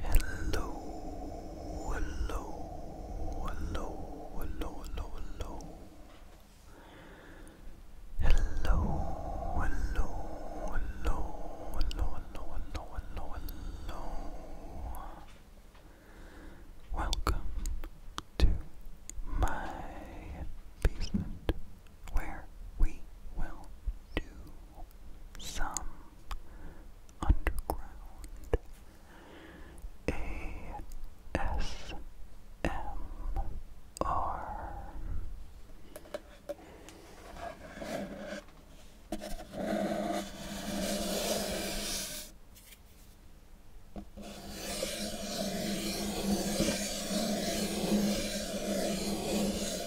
Hello, hello, hello, hello, hello, hello. Hello, hello, hello, hello, hello, hello, hello, hello. Welcome to my basement where we will do some underground ASMR. Tonight,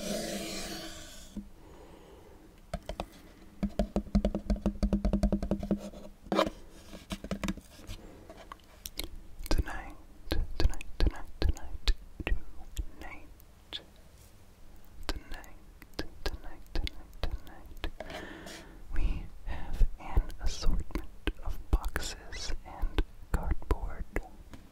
tonight, tonight, tonight, tonight. Tonight, tonight, tonight, tonight, we have an assortment of boxes and cardboard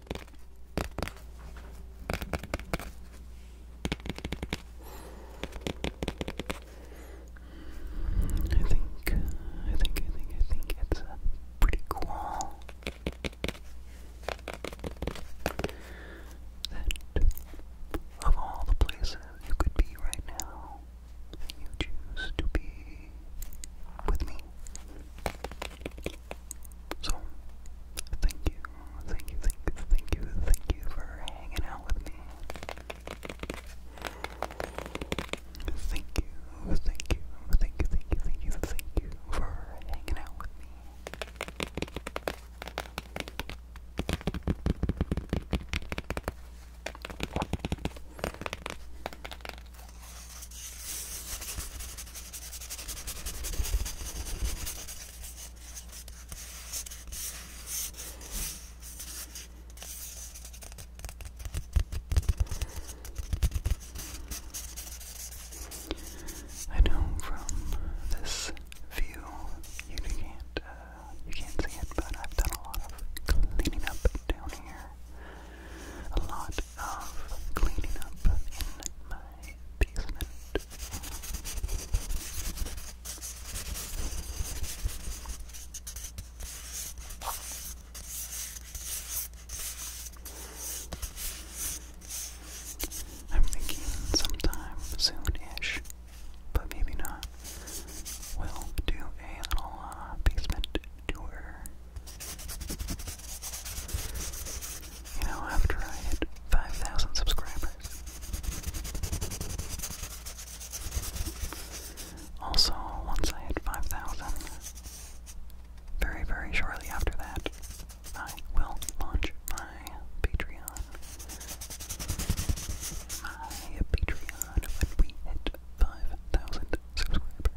I think, I think, I think, I think it's pretty cool that of all the places you could be right now, you choose to be with me. So, thank you, thank you, thank you, thank you, thank you for hanging out with me. Thank you, thank you, thank you, thank you, thank you, thank you for hanging out with me. I know from this view you can't uh, you can't see it, but I've done a lot of cleaning up down here. A lot of cleaning up in my basement. I'm thinking sometime soon-ish, but maybe not. We'll do a little uh, basement you know, after I hit 5,000 subscribers. Also, once I hit 5,000, very, very shortly after that, I will launch my Patreon. My Patreon when we hit 5,000 subscribers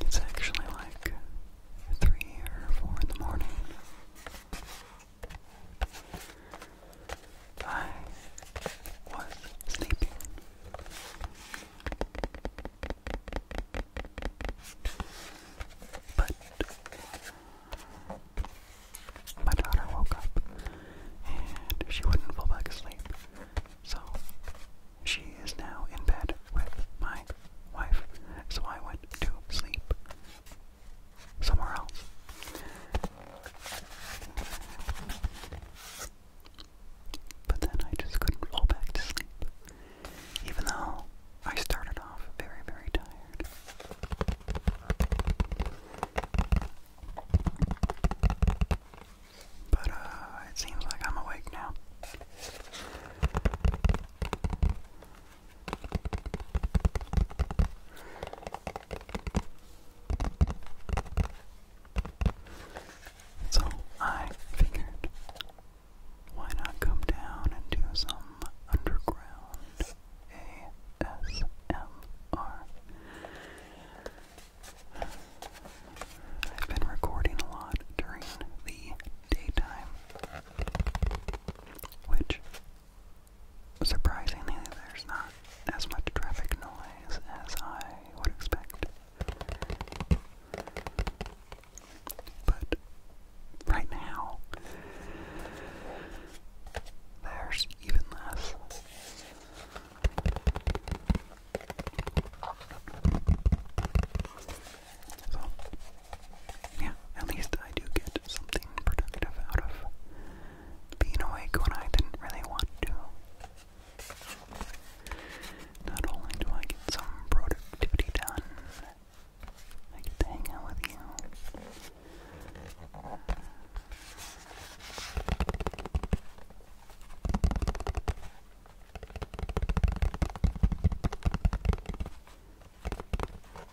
It's actually like three or four in the morning. I was sleeping. But my daughter woke up and she wouldn't fall back asleep. So she is now in bed with my wife. So I went to sleep somewhere else. But then I just couldn't fall back to sleep, even though I started off very, very tired. But uh, it seems like I'm awake now. So I figured, why not come down and do some underground ASMR? I've been recording a lot during the daytime, which Surprisingly, there's not as much traffic noise as I would expect. But right now, there's even less. So, yeah, at least I do get something productive out of being awake when I didn't really want to. Not only do I get some productivity done, I get to hang out with you.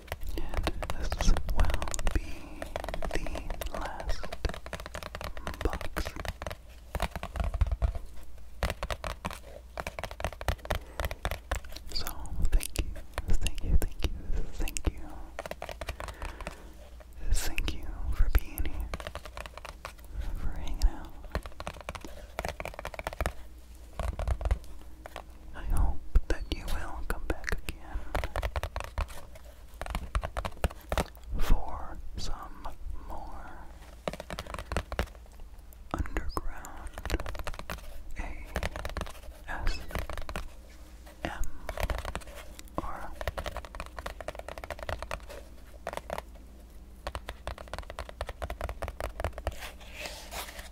This will be the last box. So, thank you, thank you, thank you, thank you. Thank you for being here, for hanging out. I hope that you will come back again for some more underground ASMR.